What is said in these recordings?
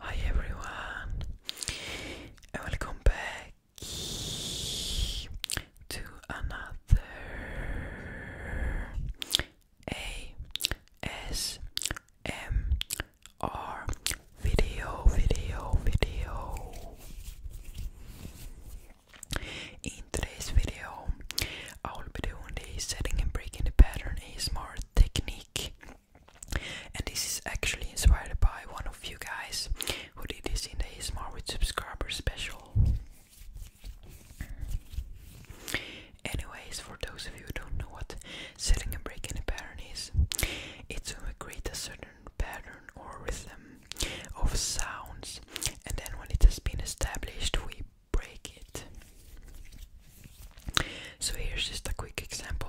Hi everyone, and welcome back to another ASMR are video, video, video. In today's video, I will be doing the setting and breaking the pattern ASMR technique. And this is actually inspired by one of you guys who did this in the ASMR with subscribers special. Anyways, for those of you who don't know what setting and breaking a pattern is. It's when create a certain pattern or rhythm of sounds, and then when it has been established, we break it. So here's just a quick example.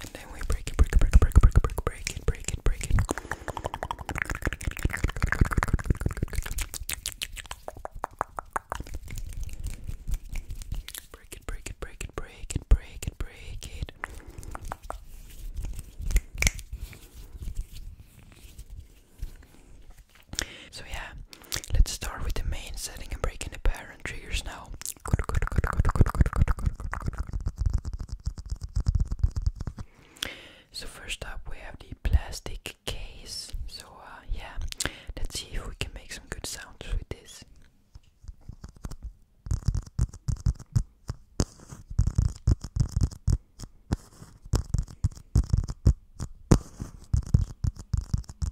And then we break it, break it, break it, break it, break it, break it, break it, break it, break it. Break it, break it, break it, break it, break it, break it. So yeah, let's start with the main setting and breaking the parent triggers now. So first up we have the plastic case. So uh, yeah, let's see if we can make some good sounds with this.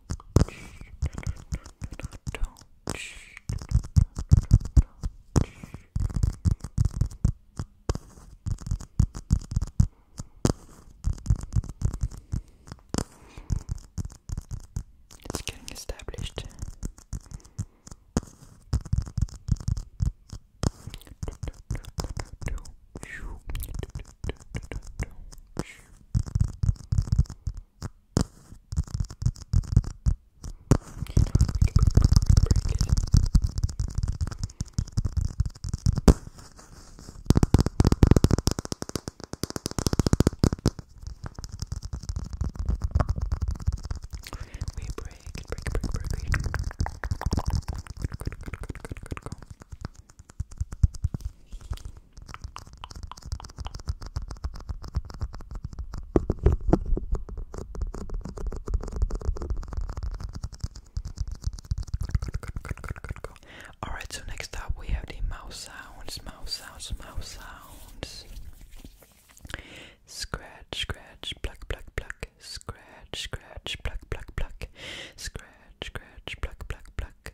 It's getting established break, break, break, break. Alright, so next up we have the mouse sounds, mouse sounds, mouse sounds. Scratch, scratch, pluck, pluck, pluck. Scratch, scratch, pluck, pluck, pluck. Scratch, scratch, pluck, pluck, pluck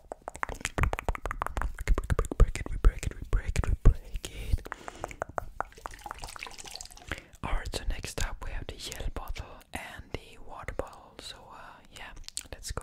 Alright, so next up we have the yell bottle and the water bottle. So, uh, yeah, let's go.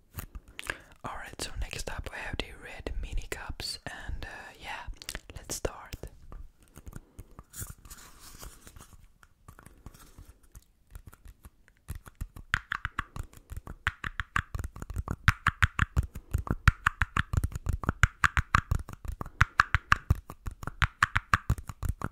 Alright, so next up we have the red mini cups, and uh, yeah, let's start.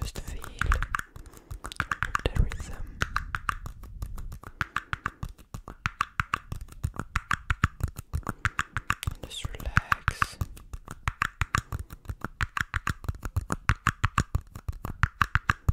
Just feel the rhythm. And just relax.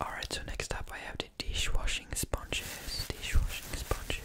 all right, so next up I have the dishwashing sponges, dishwashing sponges.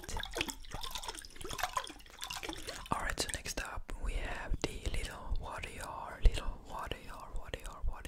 Alright, so next up we have the little warrior, little warrior, warrior, warrior.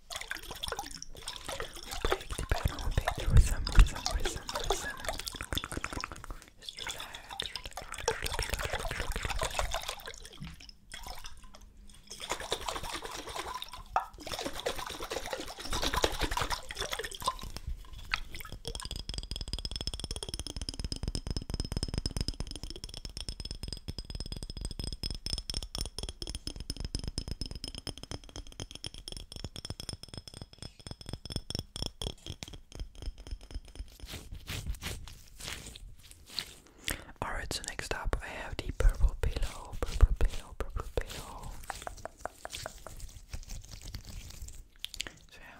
Break the pattern, break the rhythm, rhythm, rhythm, rhythm. Just relax, Alright, so next up I have the purple pillow, purple pillow, purple pillow. So yeah.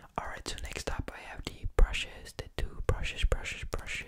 Alright, so next up I have the brushes, the two brushes, brushes, brushes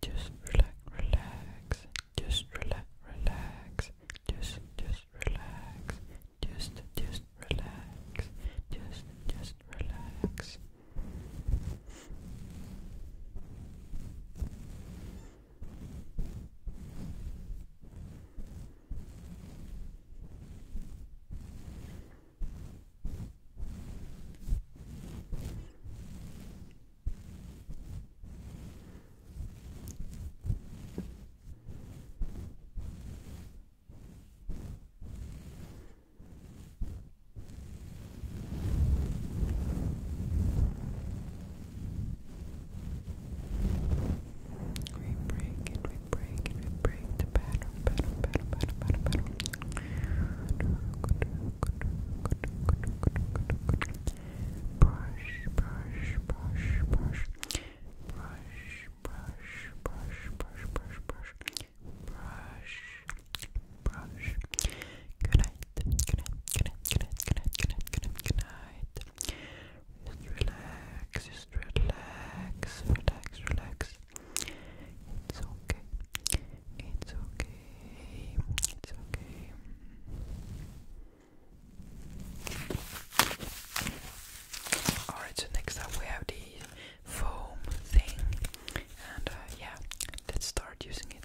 just relax, relax, just relax, relax, just, just relax, just, just relax. Just, just relax. We break it, we break it, we break the pattern, pattern, pattern, pattern, pattern, pattern. Brush, brush, brush, brush brush, brush, brush, brush, brush, brush, brush, brush. Good night, good night, good night, good night, good night, good night, good night, good night. Just relax, just relax, relax, relax. It's okay. It's okay. It's okay. Alright, so next up we have the foam thing, and uh, yeah, let's start using it.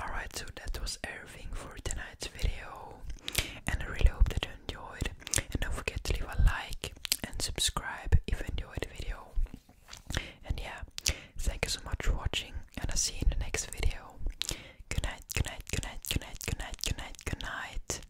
Alright, so that was everything for tonight's video, and I really hope that you enjoyed. And don't forget to leave a like and subscribe if you enjoyed the video. And yeah, thank you so much for watching, and I'll see you in the next video. Good night, good night, good night, good night, good night, good night, good night.